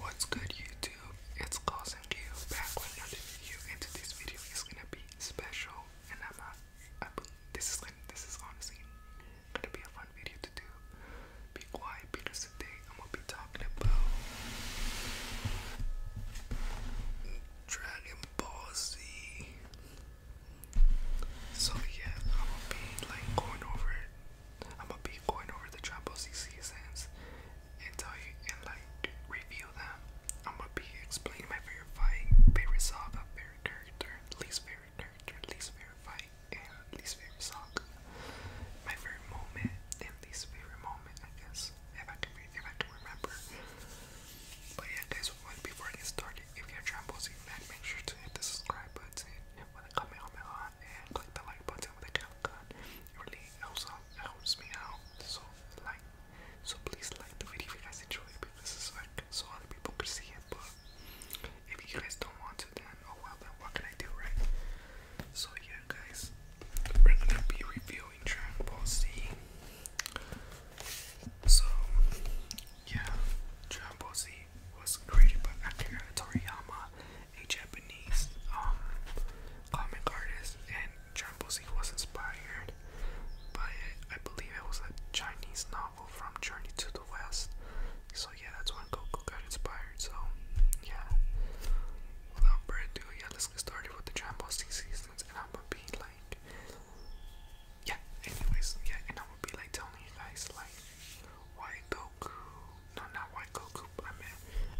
What's good YouTube? It's Cause and Gil back with another video and today's video is gonna be special and I'm not I this is like this is honestly gonna be a fun video to do. Be quiet because today I'm gonna be talking about Dragon Ball Z. So yeah, I'm gonna be like going over I'm gonna be going over the Tramposi seasons and tell you and like review them. I'm gonna be explaining my favorite fight, favorite saga, favorite character, least favorite character, least favorite fight, and least favorite saga. My favorite moment and least favorite moment, I guess. If I can if I can remember. But yeah guys, before I get started, if you're a Tramposi make sure to hit the subscribe button with a Kamehameha and click the like button with a countdown. It really helps out, um, helps me out. So like, so please like the video if you guys enjoy it because it's like so other people could see it. But if you guys don't want to, then oh well. Then what can I do, right? So yeah, guys, we're gonna be reviewing Dragon Ball Z. So yeah, Dragon Ball Z was created by Akira Toriyama a Japanese um, comic artist, and Trombosi was inspired by I believe it was a Chinese novel from Journey to the West. So yeah, that's when Goku got inspired. So yeah, without further ado, yeah, let's get started with the Trombosi seasons, and I'm gonna be like, yeah. Anyways, yeah, and I'm gonna be like telling you guys like why Goku no, not White Goku. I mean,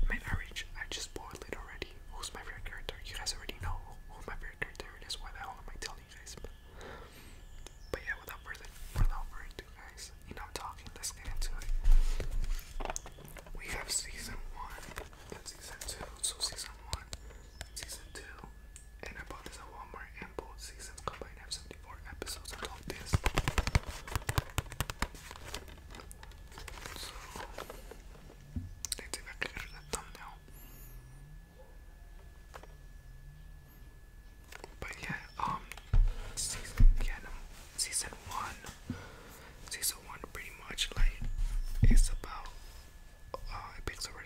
I mean, I reach. I just boiled it already. Who's my favorite character? You guys already know who my favorite character is. Why the hell am I telling you guys? But, but yeah, without further without further ado, guys. You know, talking. Let's get into it. We have season one and season two. So season one, and season two, and I bought this at Walmart. And both seasons combined have 75 54 episodes of Talk This. So, let's see if I thumbnail. But yeah, um, season, yeah, season one, season one pretty much like it's about, uh, it picks up with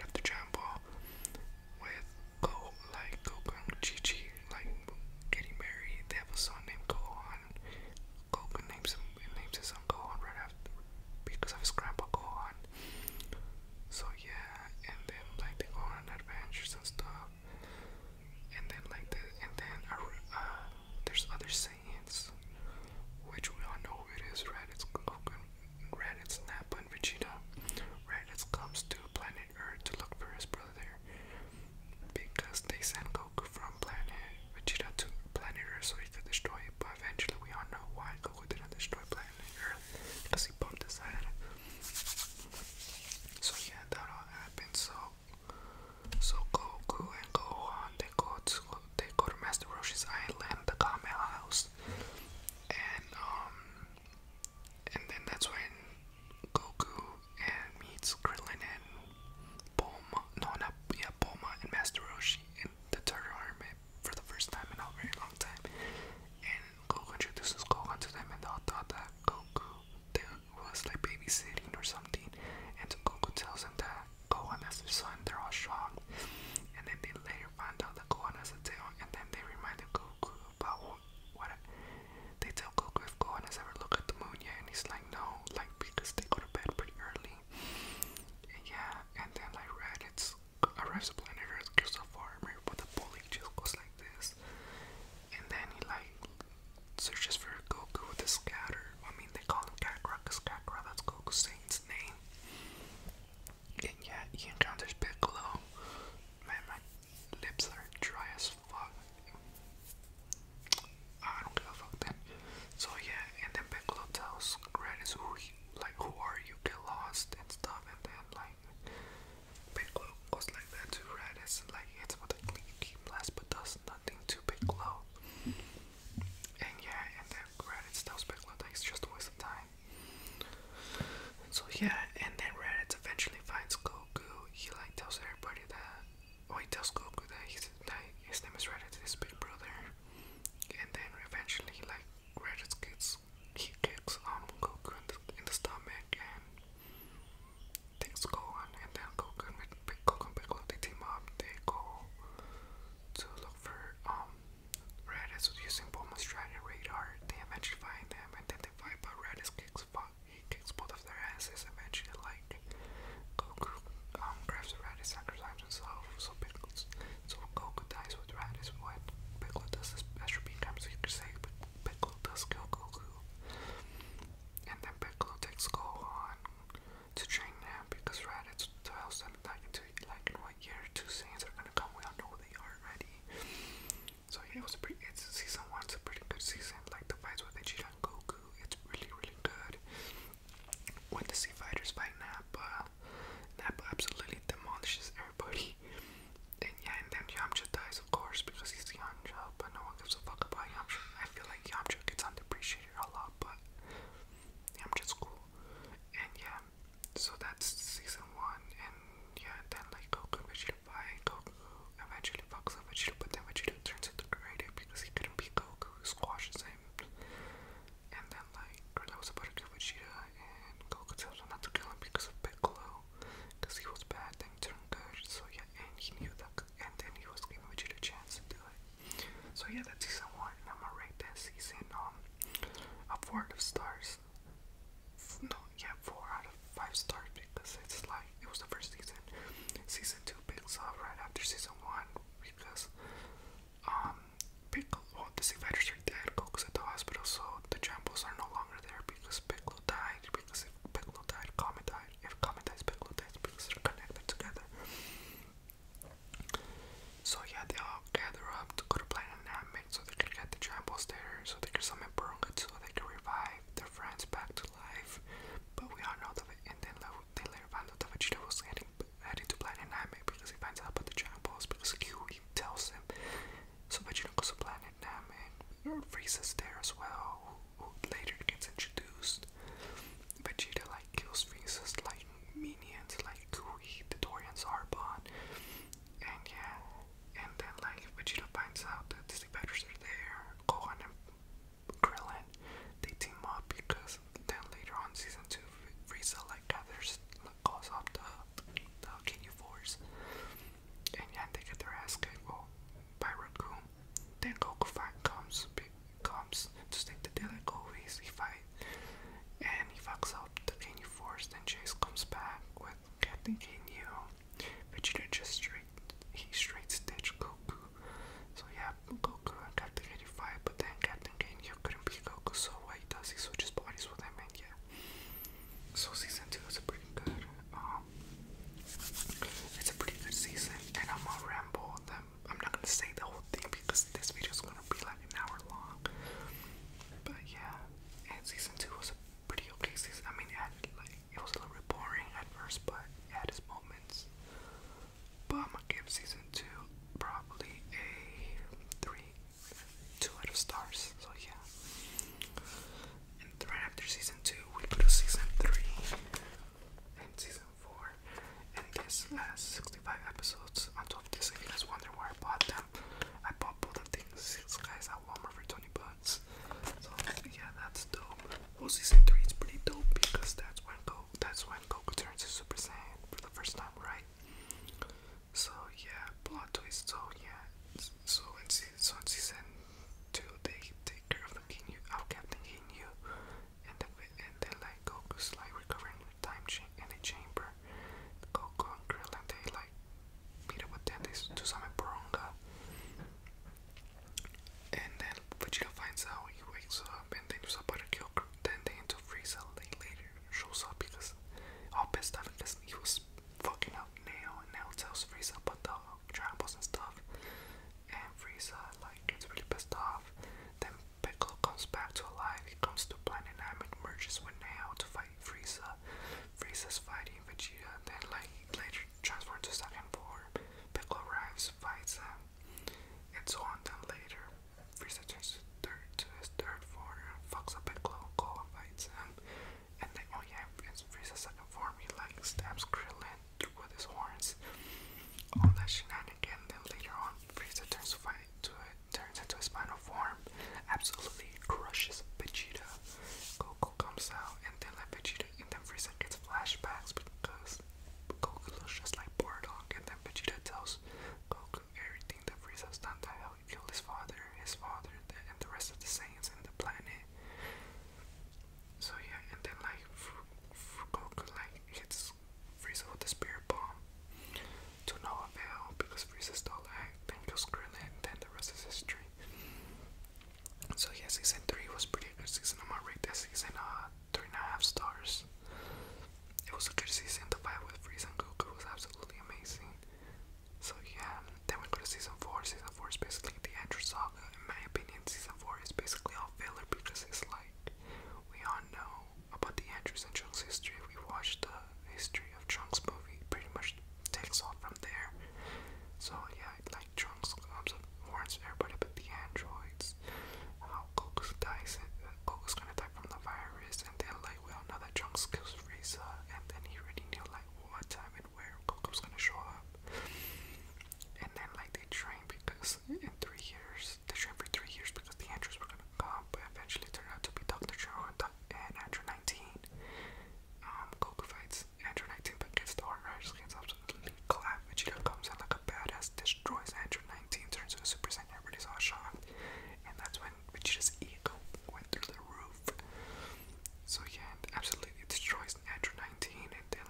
Go like Gokun Chichi like getting married. They have a son named Gohan. Goku names him names his son Gohan right after because of his grandpa Gohan. So yeah, and then like they go on adventures and stuff. And then like the and then uh, uh, there's other Saiyans, which we all know who it is. Right? It's Goku. Raditz, Nappa, and Vegeta. Raditz comes to planet or to look for his brother because they sent Goku from planet Vegeta to planet Earth so he could destroy it. But eventually, we all know why Goku didn't destroy planet Earth because he bumped his head. So yeah, that all happened. So so Goku and Gohan they go to they go to Master Roshi's island, the Kame House, and um. And then that's when Goku and meets Krillin and Bulma. No, not yeah, Bulma and Master Roshi in the Turtle Army for the first time in a very long time. And Goku introduces Gohan to them, and they all thought that Goku was like babysitting or something. And so Goku tells them that Gohan has a son. They're all shocked. And then they later find out that Gohan has a tail, and then they remind Goku about what, they tell Goku if Gohan has ever looked at the moon yet, and he's like, no, like because they go to bed pretty early. yeah, and then like Red, it's arrives at planet Earth, gives a farmer, but the bully just goes like this, and then he like searches for Goku with a scatter. I mean, they call him Kakra, cause Kakra that's Goku's Saint's name. And yeah, he encounters Piccolo. Man, my lips are dry as fuck. I don't give a fuck then. So yeah, and then Piccolo tells Grannis like who are you, get lost and stuff and then like Piccolo goes like that to Raditz like it's about to keep less but does nothing to Piccolo. And yeah, and then Raditz tells Piccolo that it's just waste of time. So yeah, and then Raditz eventually finds Go Goku, he like tells everybody that. Oh, he tells Goku that, he's, his name is Raditz, his big brother. And then eventually, like, Raditz gets. He kicks um, Goku in the, stomach and takes Gohan. And then Goku Goku and Piccolo team up. They go to look for um, Raditz using Bulma's dragon radar. They eventually find them and then they fight, but Raditz kicks kicks he kicks both of their asses eventually like Goku um grabs Raditz sacrifices himself so Piccolo so Goku dies with Raditz when Piccolo does his Astro Beam comes he Piccolo does kill Goku and then Piccolo takes Gohan to train him because Raditz tells them like into like in year two Saiyans are gonna come we all know they are already so yeah, it was a pretty. It's season one's a pretty good season. Like the fights with Vegeta and Goku, it's really really good. When the see fighters fight Nappa. Nappa absolutely demolishes everybody. And yeah, and then Yamcha dies, of course, because he's Yamcha. But no one gives a fuck about Yamcha. I feel like Yamcha gets underappreciated a lot, but Yamcha's cool. And yeah, so that's season one. And yeah, then like Goku and Vegeta by Goku. Eventually fucks up but then Vegeta turns into Karate because he couldn't beat Goku, squashes him. And then like Krillin was about to and Goku tells not to because of Piccolo. Because he was bad, then turned good. So yeah, and he knew that and then he was giving Vegeta a chance to do it. So yeah, that's season one I'm gonna rate that season um a four out of stars. No, yeah, four out of five stars because it's like it was the first season. Season two picks up right after season one because um Piccolo well the Invaders are dead, Goku's at the hospital, so the Jambos are no longer there because Piccolo died, because if died, Comet died. If Comet dies, Piccolo dies because they're connected together. So yeah, they all gather up to go to Planet Namek so they can get the Jambos there, so they can summon Burunga so they can revive their friends back to life, but we all know that. And then they later find out that Vegeta was heading, heading to Planet Namek because he finds out about the Dragon Balls because Q tells him. So Vegeta goes to Planet Namek, freezes there as well. Who later gets introduced. Vegeta like kills Frieza's like minions like Kui, the are born, And yeah, and then like Vegeta finds out that the Disney Badgers are there, Gohan and Krillin, they team up because then later on season two, Frieza like gathers, like, calls off the the Ginyu Force, and yeah, they get their ass kicked well, by Raccoon. Then Goku fight comes, comes to take the deal like always. He fight, and he fucks up the Ginyu Force. Then Chase comes back with Captain Ginyu, Vegeta just straight he straight stitched Goku. So yeah, Goku and Captain Kid but then Captain Kid couldn't beat Goku, so what he does, he switches bodies with him, yeah. So season two is a pretty good, um, it's a pretty good season, and I'm gonna ramble them. I'm not gonna say the whole thing because this video is gonna be like an hour long. But yeah, and season two was a pretty okay season. I mean, it like it was a little bit boring at first, but it had its moments. But i give season two probably a three, two out of stars. So yeah. And right after season two, we put a season three and season four. And this has 65 episodes. On top of this, if you guys wonder where I bought them, I bought both of these guys at Walmart for 20 bucks. So yeah, that's dope. Well, season three is pretty dope because that's when Go that's when Goku turns into Super Saiyan for the first time, right? So yeah, plot twist. So yeah, so in season two they take care of the Ginyu, of Captain Ginyu, and then and then like Goku's like recovering in time cha in the chamber. Goku and Krillin they like Peter tende to summon Boronga. And then Vegeta finds out, he wakes up, and then Zapata kills Tende into Frieza later shows up because all pissed off because he was fucking up now, and now tells Frieza about the Dragon Balls and stuff. And Frieza like gets really pissed off. Then Piccolo comes back to alive, he comes to Planet Namek, merges with Neo to fight Frieza. Frieza's fighting Vegeta, then like later transferred to second form. Piccolo arrives, fights him, and so on. Then later, Freeza turns to third to his third form, fucks up Piccolo, Gohan fights him, and then oh yeah, it's Frieza's second form. He like stabs Krillin with his horns. All that shenanigan. Then later on, Freeza turns to fight to it, turns into his final form, absolutely crushes Vegeta. Goku comes out and then like Vegeta and then Frieza gets flashbacks because Goku looks just like Bardock and then Vegeta tells Goku everything that Frieza's done that how he killed his father, his father, and the rest of the Saiyans and the planet. So yeah, and then like F Goku like hits Frieza with the spirit bomb to no avail because Frieza stole the act, then kills Krillin, and then the rest is history. So yeah, season three was pretty good season. I'm gonna rate that season uh three and a half stars. It was a good season. The fight with Freeze and Goku was absolutely amazing. So yeah, then we go to season four. Season four is basically the Andrew saga. In my opinion, season four is basically all filler because it's like we all know about the Andrews and Trunks history. We watched the history of Trunks movie, pretty much takes off from there. So yeah, like Trunks comes up, warns everybody but the androids. How uh, dies, and uh, Goku's gonna die from the virus, and then like we all know that Trunks kills Frieza, and then he already knew like what time and where Goku's gonna show up. And then like they train because in three years they train for three years because the androids were gonna come, but eventually turn out to be Doctor Zero and, and Android 19. Um, Goku fights Android 19 but gets the hard comes in like a badass, destroys Android 19, turns into a Super Saiyan, everybody's all shocked. And that's when Vegeta's ego went through the roof. So yeah, absolutely destroys Android 19 and then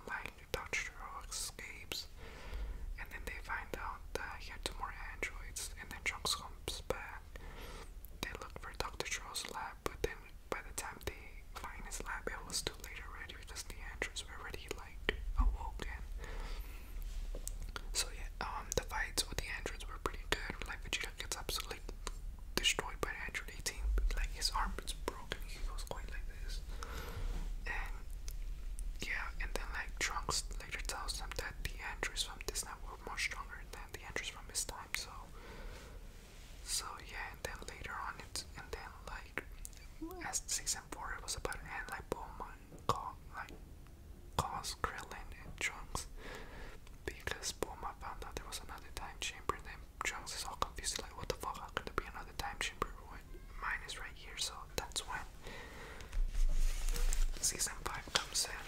Doctor Dodgero escapes. And then they find out that he had more androids and then Trunks comes back. They look for Dr. Troll's lab but then by the time they find his lab, it was too late already because the androids were already like awoken. So yeah, um, the fights with the androids were pretty good. Like Vegeta gets absolutely destroyed by Android 18. Like his arm is broken, he was quite like this, and yeah, and then like Trunks later tells them that the androids from this network were much stronger than the androids from his time. So so yeah, and then later on, it's and then like as season four, it was about and like Bowman call like caused Krillin and Trunks because Bulma found out there was another time chamber, and then Trunks is all confused, like what the fuck, how could there be another time chamber when mine is right here? So that's when season five comes in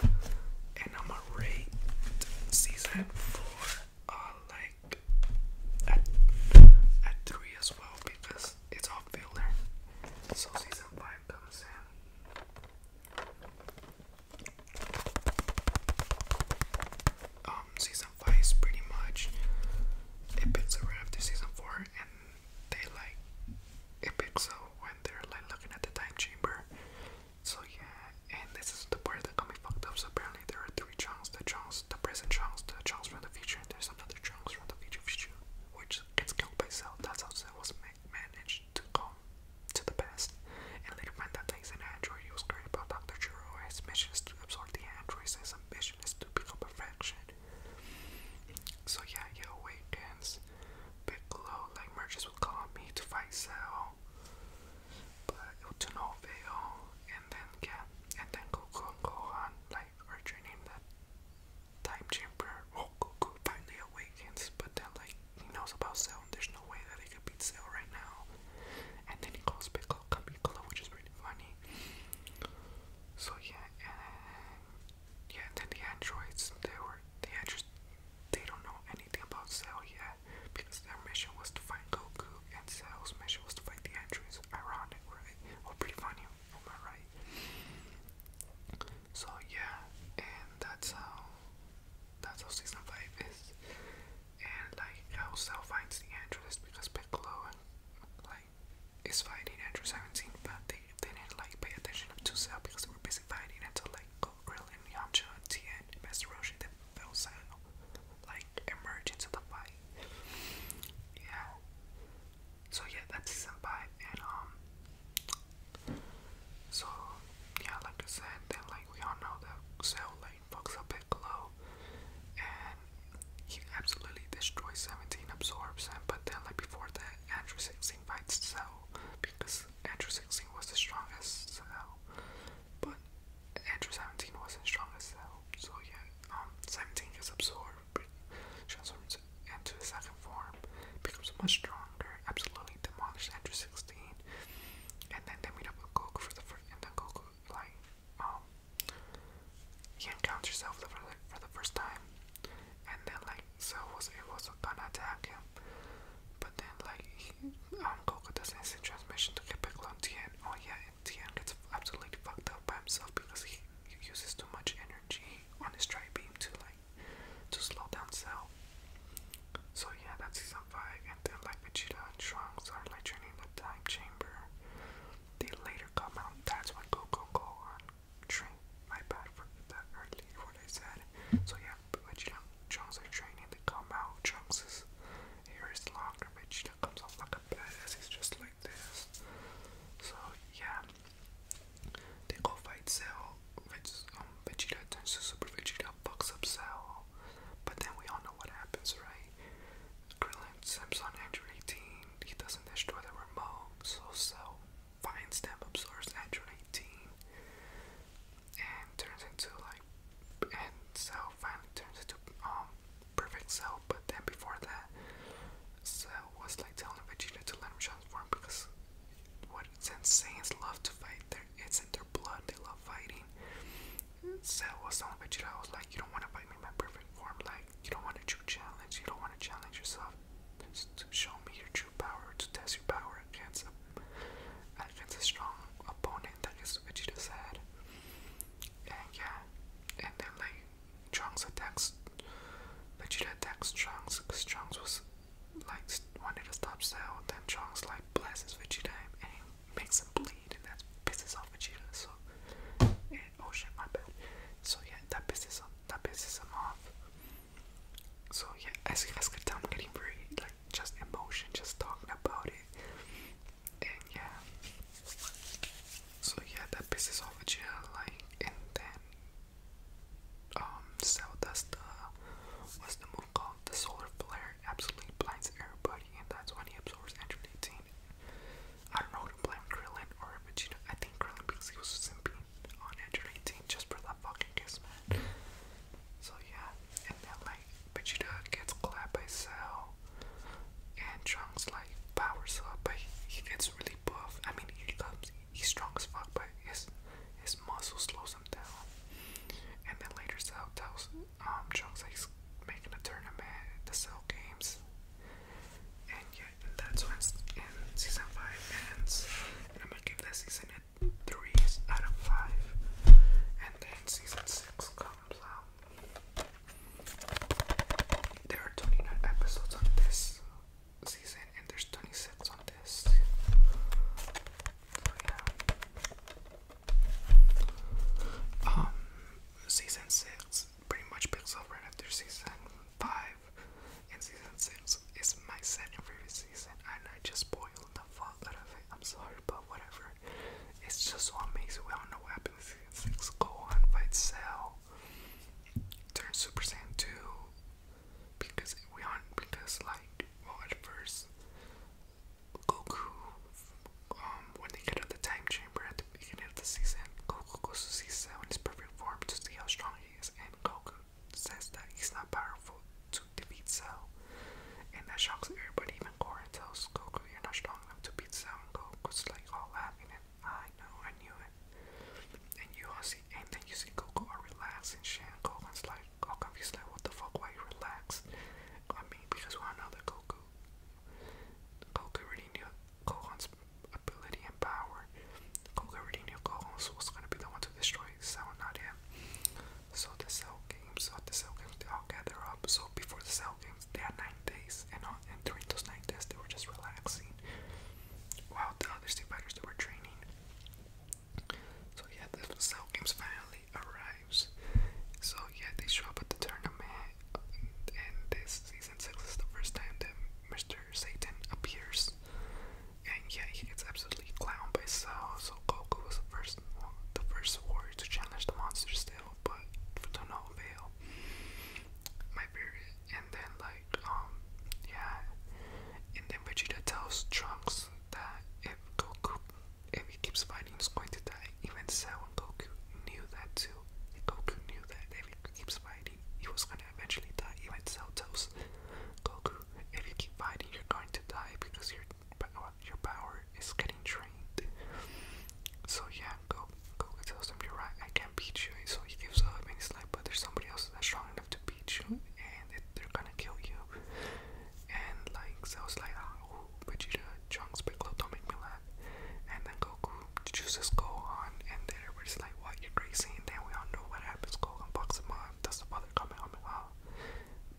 and I'ma season four uh like at at three as well because it's all filler. So season five comes in. Um, season five is pretty much it picks up after season four, and they like it picks up when they're like looking at the time chamber, so yeah, and this is the part that got me fucked up. So apparently there are three chunks: the chunks, the present chunks, the chunks from the future, and there's another chunks from the future, future which gets killed by Cell. That's how Cell was ma managed to come to the past, and later find that he's an android. He was created by Doctor Jiro. His mission is to absorb the androids. His ambition is to become perfection. So yeah, he awakens. Piccolo like merges with Kami to fight Cell but to no avail. And then yeah, and then Goku and Gohan like are training the time chamber. Well, oh, Goku finally awakens, but then like he knows about Cell, there's no way that he could beat Cell right now. And then he calls Piccolo which is pretty funny. So yeah, and yeah, then the androids they were they had they don't know anything about Cell yet, because their mission was to find Goku, and Cell's mission was to find the androids. Ironic, right? Oh, pretty funny, am I right? So yeah, and that's how that's how season five is, and like how Cell finds the androids because Piccolo like is fighting androids. I but they, they didn't like pay attention to Cell because they were busy fighting until like Grill and Yamcha, Tien, Master Roshi that fell like emerge into the fight. Yeah. So yeah, that's his five, and um, so yeah, like I said, then like we all know that Cell like fucks up Piccolo, and he absolutely destroys Seventeen, absorbs him. But then like before that, Andrew Sixteen fights Cell because Andrew Sixteen was the strongest Cell. But Andrew 17 wasn't strong as hell, so yeah, um, 17 gets absorbed, transforms into a second form, becomes much stronger, absolutely demolished Andrew 16, and then they meet up with Goku for the first, and then Goku, like, um, he encounters Cell for the, for the first time, and then, like, so was able to gonna attack him, but then, like, he, um, doesn't send transmission to get back on Tien. Oh, yeah, Tien gets absolutely fucked up by himself because he, uses too much energy on his tri beam to, like, to slow down Cell. So, yeah, that's season 5. And then, like, Vegeta and Trunks are, like, joining the time chamber. They later come out. That's when Goku goes on train. My bad for that early what I said. So, yeah, but you know, Trunks are training to come out. Trunks' is here is longer, but you comes off like a badass. He's just like this. So yeah, they go fight Cell. Which um, Vegeta turns to Super Vegeta, fucks up Cell. But then we all know what happens, right? Krillin Sims on Android 18. He doesn't destroy the remote, so Cell finds them, absorbs Android 18 and turns into like and cell finally turns into um perfect cell but then before that cell was like telling Vegeta to let him transform because what insane is love to fight their it's in their blood they love fighting Cell was telling Vegeta I was like you don't want to fight me in my perfect form like you don't want a true challenge you don't want to challenge yourself to show me your true power to test your power against a and against a strong opponent that is Vegeta said. And yeah, and then like Trunks attacks Vegeta attacks Trunks because Trunks was like wanted to stop Cell, then Trunks like blesses Vegeta and makes him bleed and that pisses off Vegeta so oh shit my bad. So yeah that pisses that pisses him off. So yeah as you guys could tell I'm getting very just emotion, just talking about it. And yeah. So yeah, that pisses off Jill, like, and then, um, Zelda's the, uh, what's the move called? The solar flare absolutely blinds everybody, and that's when he absorbs Andrew 18. I don't know who to blame, Krillin or Vegeta. I think Krillin because he was simping on Andrew 18 just for that fucking kiss, man. So yeah, and then like Vegeta gets clapped by Cell, and Trunks like powers up, but he, gets really buff. I mean, he comes, he's strong as fuck, but his his muscle slows him down. And then later Cell tells um Trunks like he's making a tournament, the Cell Games, and yeah, and that's when in season five ends. And I'm gonna give this season get threes out of five, and then season six comes out. There are 29 episodes on this season, and there's 26 on this. So, yeah. Um, season six pretty much picks up right after season five, and season six is my second favorite season, and I just spoiled the fuck out of it. I'm sorry, but whatever. It's just what makes it. We don't know what happens. Six go on, fight Cell, turn Super Saiyan 2, because we are because like, well, at first, Goku, um, when they get out the time chamber at the beginning of the season, Goku goes to see Cell in his perfect form to see how strong he is, and Goku says that he's not powerful to defeat Cell, and that shocks everybody, even Goran tells Goku, you not strong enough to beat Cell, Goku's like all laughing, I know, I knew it. And you all see, and then you see Goku all and Shan Gohan's like, all confused, like, what the fuck, why you relaxed? I mean, because we all know that Goku, Goku already knew Gohan's ability and power. Goku already knew Gohan was gonna be the one to destroy Cell, not him. So the cell games, so the cell games, they all gather up. So before the cell games, they had nine days, and, all, and during those nine days, they were just relaxing, while the other state fighters they were training. So yeah, the cell games finally arrives. So yeah, they show up at the tournament, and this season six is the first time that Mr. Satan appears. And yeah, he gets absolutely clowned by Cell. So Goku was the first, the first warrior to challenge the monster still, but to no avail. My favorite. And then like, um, yeah. And then Vegeta tells Trunks that if Goku, if he keeps fighting, he's going to die. Even Cell and Goku knew that too. Goku knew that if he keeps fighting, he was gonna eventually die. Even Cell tells Goku, if you keep fighting, you're going to die because you're power, your power is getting drained. So yeah, go, go. It tells him you're right. I can't beat you. So he gives up and he's like, but there's somebody else that's strong enough to beat you, and it, they're gonna kill you. And like, so I was like, oh, Vegeta, Trunks, Piccolo, don't make me laugh. And then Goku chooses Gohan, and then everybody's like, what? You're crazy. And then we all know what happens. Gohan bucks him up. Does the father coming on? Huh?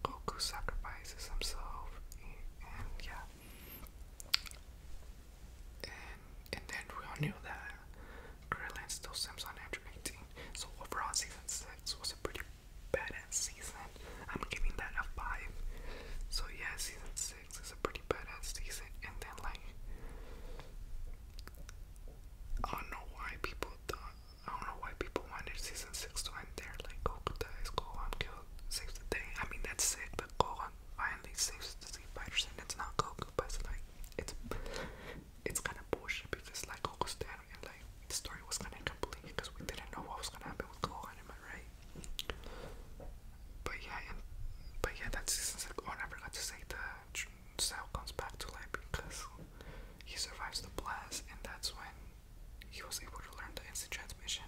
Goku sacrifices himself, and, yeah, and and then we all knew that Krillin still Sims on So overall, season six was a pretty badass season. I'm giving that a five. So yeah, season six is a pretty badass season, and then like. I don't know why people thought I don't know why people wanted season six to end there. Like Gokuta is Gohan killed, saves the day. I mean that's sick, but Gohan finally saves the Z fighters, and it's not Goku, but it's like it's it's kind of bullshit because like Goku's dead, and like the story was kind of incomplete because we didn't know what was gonna happen with Gohan. Am I right? But yeah, and but yeah, that's season six. Oh, I forgot to say the Cell comes back to life because he survives the blast, and that's when he was able to learn the instant transmission.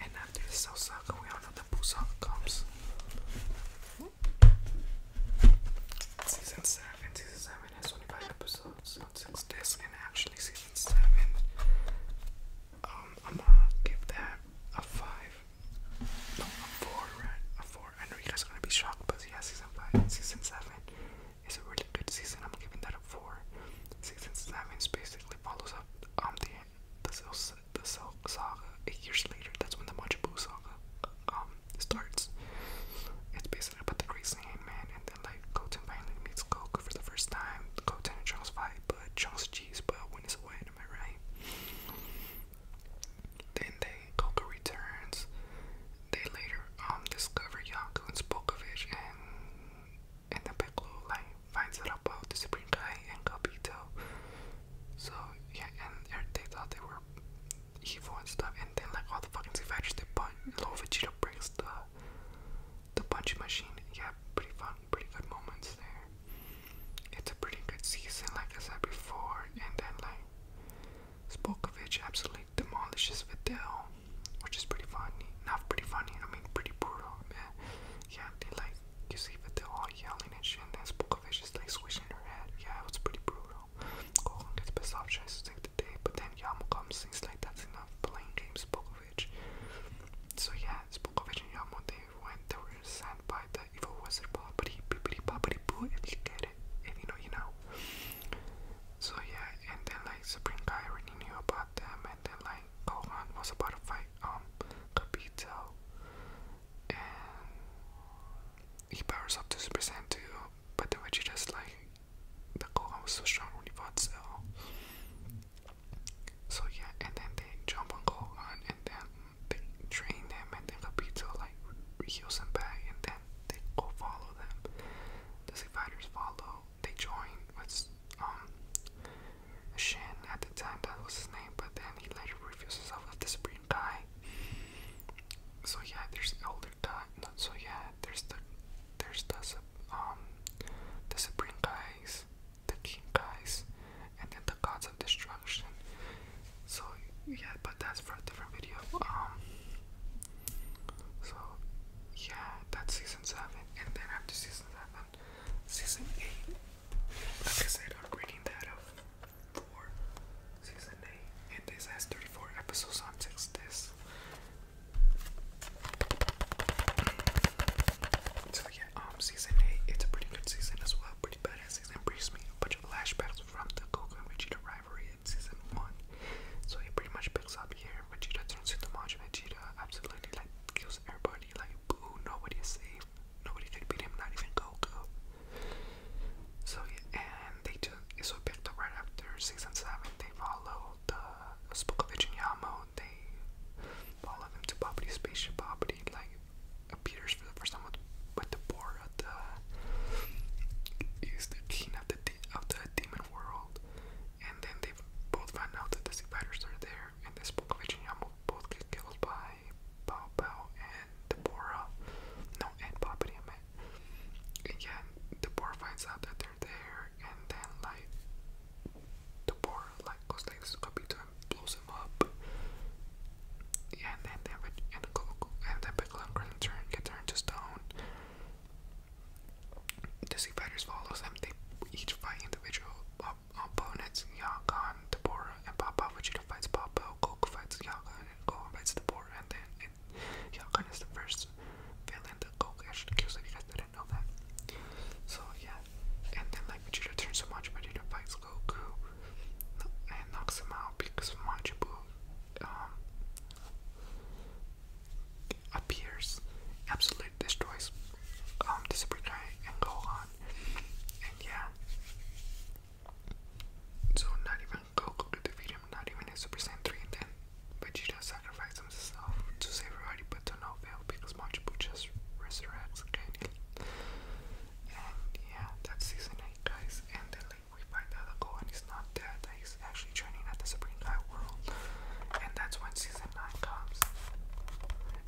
And after the Cell Saga, we all know that Busaka comes. Season 7. Season 7 has 25 episodes on 6 discs, and actually, Season 7, um, I'm gonna give that a 5. No, a 4, A 4. I know you guys are gonna be shocked, but yeah, Season 5 and Season 7 it's a really good season. I'm giving that a four. Season seven basically follows up um the the the saga eight years later. That's when the Machibu saga um starts. It's basically about the crazy man and then like Goten finally meets Goku for the first time. Goten and Trunks fight, but Trunks cheese, but when is away, am I right? Then they Goku returns they later um discover Yaku and Spokovich and and then Piccolo like finds out the Supreme Kai and Capito. So yeah, and er, they thought they were evil and stuff and then like all the fucking Savage they punch Little Vegeta breaks the the punch machine. Yeah, pretty fun, pretty good moments there. It's a pretty good season like I said before and then like Spokovich absolutely demolishes Videl, which is pretty funny. Not pretty funny, I mean pretty brutal, man. Yeah, they like you see Videl all yelling and shit, and then Spokovich is like swishing her head. Yeah, it was pretty brutal. Gohan gets pissed off, tries to the day, but then Yama comes, he's like, that's enough, playing game Spokovich. So yeah, Spokovich and Yama, they went, they were sent by the evil wizard, but but he, but he, but and you get it, and you know, you know. So yeah, and then like Supreme Guy already knew about them, and then like Gohan was about to fight um Capito, and he powers up to Super Saiyan 2, but then Vegeta's like, the Gohan was so strong when he fought Cell. So yeah, and then they jump on Gohan, and then they train him, and then Capito like heals him back, and them, they go follow them. The Six Fighters follow, they join with um Shin at the time, that was his name, but then he later refuses off with this green guy. So yeah, there's elder guy. No, so yeah, there's the there's the um the supreme guys, the king guys, and then the gods of destruction. So yeah, but that for a different video. Um, so yeah, that's season seven, and then after season seven, season eight. Like I said, I'm reading that up for season eight, and this has 34 episodes on six this. So yeah, um, season eight, it's a pretty good season as well, pretty badass season. Brings me a bunch of flashbacks from the Goku Vegeta ride in season one. So he pretty much picks up here. Vegeta turns into Majin Vegeta, absolutely like kills everybody. Like boo, nobody is safe. Nobody could beat him, not even Goku. So yeah, and they took so picked up right after season seven. They follow the Spook of Yamo. They follow them to Poverty Spaceship Poverty, like appears for the first time with, the board is the king of the of the demon world, and then they both find out that the Sea are there, and they spoke of Ichinyamo both get killed by Bao Bao and Deborah. No, and Poppy, I meant. Again, finds out that they're there, and then like Deborah like goes like Scooby and blows him up. and then they have a, and a and then Piccolo and turn get turned to stone. Dizzy fighters follow them. They each fight individual opponents. Yagan, Deborah, and Papa. Vegeta fights Papa. Goku fights Yagan, and Goku fights Deborah. And then and is the first villain that Goku actually kills. If you guys didn't know that. So yeah, and then like Vegeta turns so much, Vegeta fights Goku and knocks him out because of Majibu um appears, absolutely destroys um, the Super Guy and Gohan. And yeah. So not even Goku could defeat him, not even in Super Saiyan 3 and then Vegeta sacrificed himself to save everybody but to no avail because Machu just resurrects And yeah, that's season 8 guys. And the we find out ago, and he's not dead. He's actually training at the Supreme High World, and that's when season nine comes.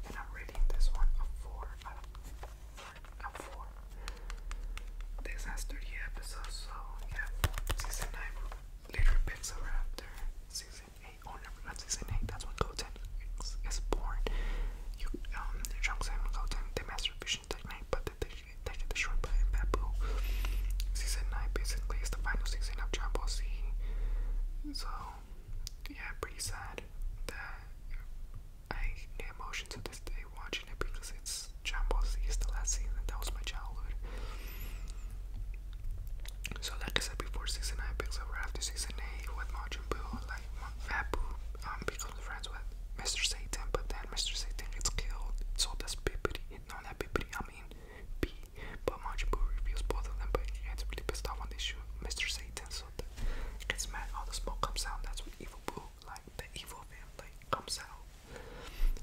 And I'm rating this one a four a four. This has thirty episodes, so yeah, season nine literally picks up after season eight. Oh, never not season eight. That's when Goten is born. um, Trunks and Goten, the master of substitution technique, but that they should take the short by Babu. Season 9 basically is the final season of Dragon So, yeah, pretty sad I the emotions of this day watching it because it's Dragon Ball the last season. That was my childhood. So, like I said before, season 9 picks up after season 8 with Majin Buu. Like, Fat Buu um, becomes friends with Mr. Satan, but then Mr. Satan gets killed. So, that's Bippity not that I mean P, but Majibu reviews both of them, but he gets really pissed off when they shoot Mr. Satan, so that mad, all the smoke comes out, that's what Evil Boo, like, the evil man, comes out,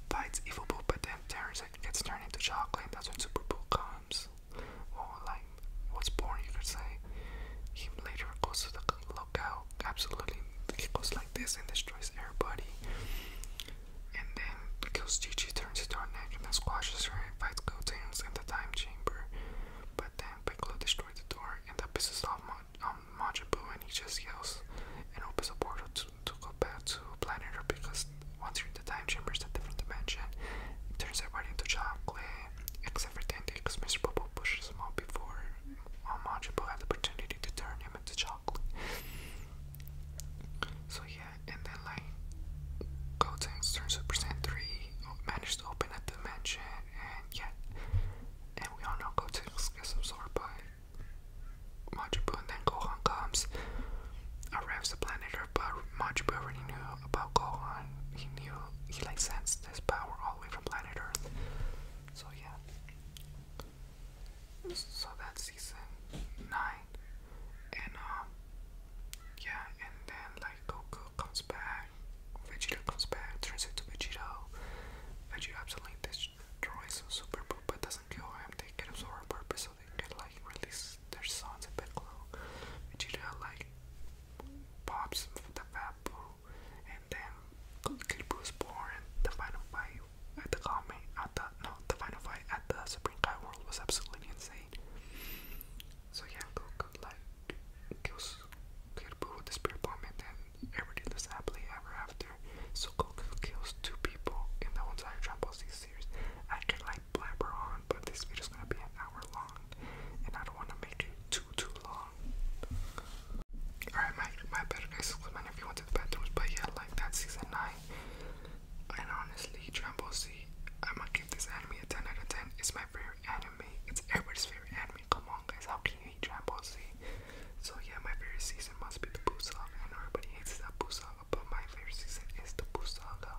fights Evil Boo, but then Terrence gets turned into chocolate, that's when Super Boo comes, or, like, was born, you could say, he later goes to the lookout, absolutely it goes like this and destroys everybody. And then because Gigi turns into a neck and then squashes her and fights Gotenks in the time chamber. But then Piccolo destroys the door and that pisses off Mon um, Majibu and he just yells and opens a portal to, go back to Planet Earth because once you're in the time chamber, it's a different dimension. It turns everybody into chocolate except for Dende because Mr. Bubble pushes him out before um, Majibu had the opportunity to turn him him chocolate. So yeah, and then like Gotenks turns to percent three, to open up the and yeah, and we all know Gotenks gets absorbed by Majibu, and then Gohan comes, arrives the planet Earth, but Majibu already knew about Gohan. He knew he like sensed this power all the way from planet Earth. So yeah, so that season nine, and um, yeah, and then like Goku comes back, Vegeta comes back, turns into Vegito. Vegeta absolutely destroys Super Boo, but doesn't kill him. They get absorbed on purpose, so they can like release their sons and Piccolo. Vegeta like pops the Fat Boo, and then Kid Boo is born. The final fight at the Kame, at the no, the final fight at the Supreme Kai World was absolutely insane. So yeah, Goku like kills Kirbu the Spirit Bomb, and then everything ever after. So Goku kills two people in the entire Dragon Ball Z series. I could like blabber on, but this video's gonna be an hour long, and I don't want to make it too too long. Alright, my my better guys man if you went to the bathrooms, but yeah, like that season nine. And honestly, Dragon Z, I'm gonna give this anime a 10 out of 10. It's my favorite anime. It's everybody's favorite anime. Come on, guys, how can you hate Dragon So yeah, my favorite season must be the Boo Saga. I everybody hates that Boo Saga, but my favorite season is the Boo Saga.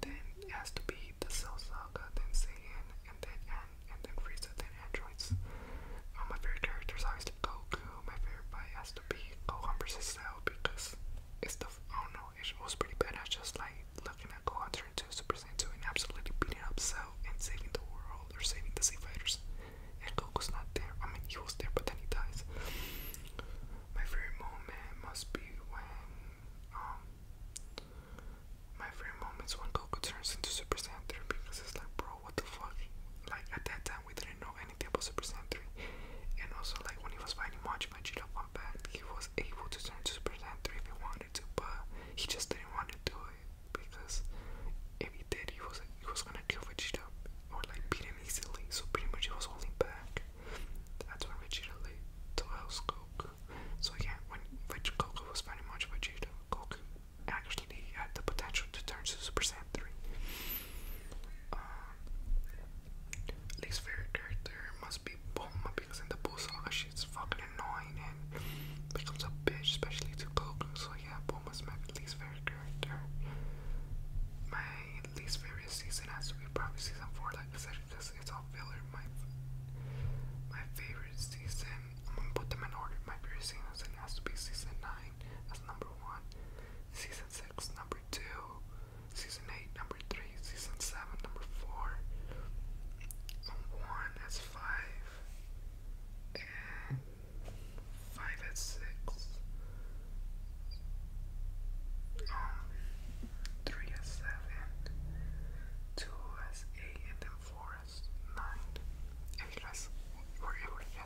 Then has to be the Cell Saga, then Saiyan, and then and, and then Frieza, then Andrew choice. Um, my favorite character to obviously Goku. My favorite fight has to be Gohan versus Cell because it's the I don't know. It was pretty badass. Just like looking at Gohan turn to Super Saiyan 2 and absolutely beating up Cell and saving the world or saving the Sea Fighters. And Goku's not there. I mean, he was there, but then he dies. My favorite moment must be when um. My favorite moments when Goku turns into Super Saiyan 3 because it's like, bro, what the fuck? Like at that we didn't know anything about Super Saiyan And also, like, when he was fighting Machi Vegeta one back, he was able to turn to Super Saiyan 3 if he wanted to, but he just didn't want to do it because if he did, he was he was gonna kill Vegeta or like beat him easily. So pretty much he was holding back. That's when Vegeta led Goku. So yeah, when Vegeta was fighting Machi Vegeta, Goku actually had uh, the potential to turn to Super Saiyan 3. Um, uh, least favorite character must be Bulma because in the Buu saga she's fucking annoying and becomes a bitch, especially to Goku. So yeah, Bulma's my least favorite character. My least favorite season has to be probably season four, like I said, because it's all filler. My my favorite season, I'm gonna put them in order. My favorite season has to be season nine as number 1, Season 6, Number 2, Season 8, Number 3, Season 7, Number 4, 1 is 5, and 5 is 6, um, 3 is 7, 2 is 8, and then 4 is 9. If you guys were able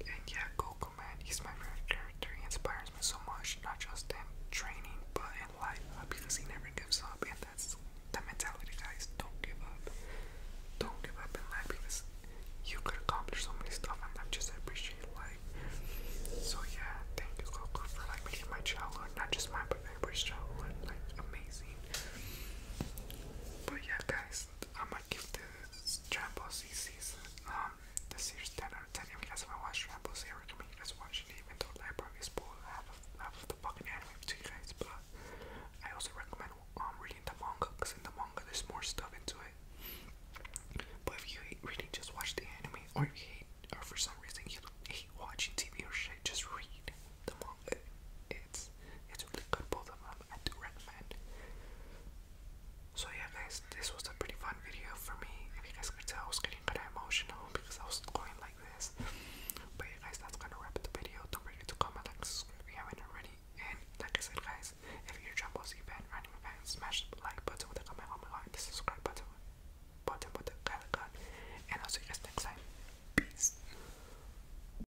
and yeah, Goku man, he's my favorite character. He inspires me so much, not just in training, but in life, uh, because he never gives up, and that's the mentality, guys. Don't give up. Don't give up in life because you could accomplish so many stuff, and I just appreciate life. So yeah, thank you, Goku, for like making my childhood, not just mine, but everybody's childhood, like amazing. But yeah, guys, I'm but give this Jumbo CC's um you guys haven't I recommend you guys watching it, even though Library is spoiled half of the fucking anime to you guys, but I also recommend um, reading the manga because in the manga there's more stuff into it. But if you hate reading, just watch the anime, or if you hate or for some reason you hate watching TV or shit, just read the manga. It's it's really good both of them. I do recommend. So yeah guys, this was a pretty fun video for me. If you guys could tell, I was getting kind of emotional because I was going like this. But yeah guys, that's gonna wrap up the video. Don't forget to comment, like, subscribe if you haven't already. And like I said guys, if you're a Dragon Ball Z fan or smash the like button with a comment, oh my god, the subscribe button, button button, the And I'll see you guys next time. Peace.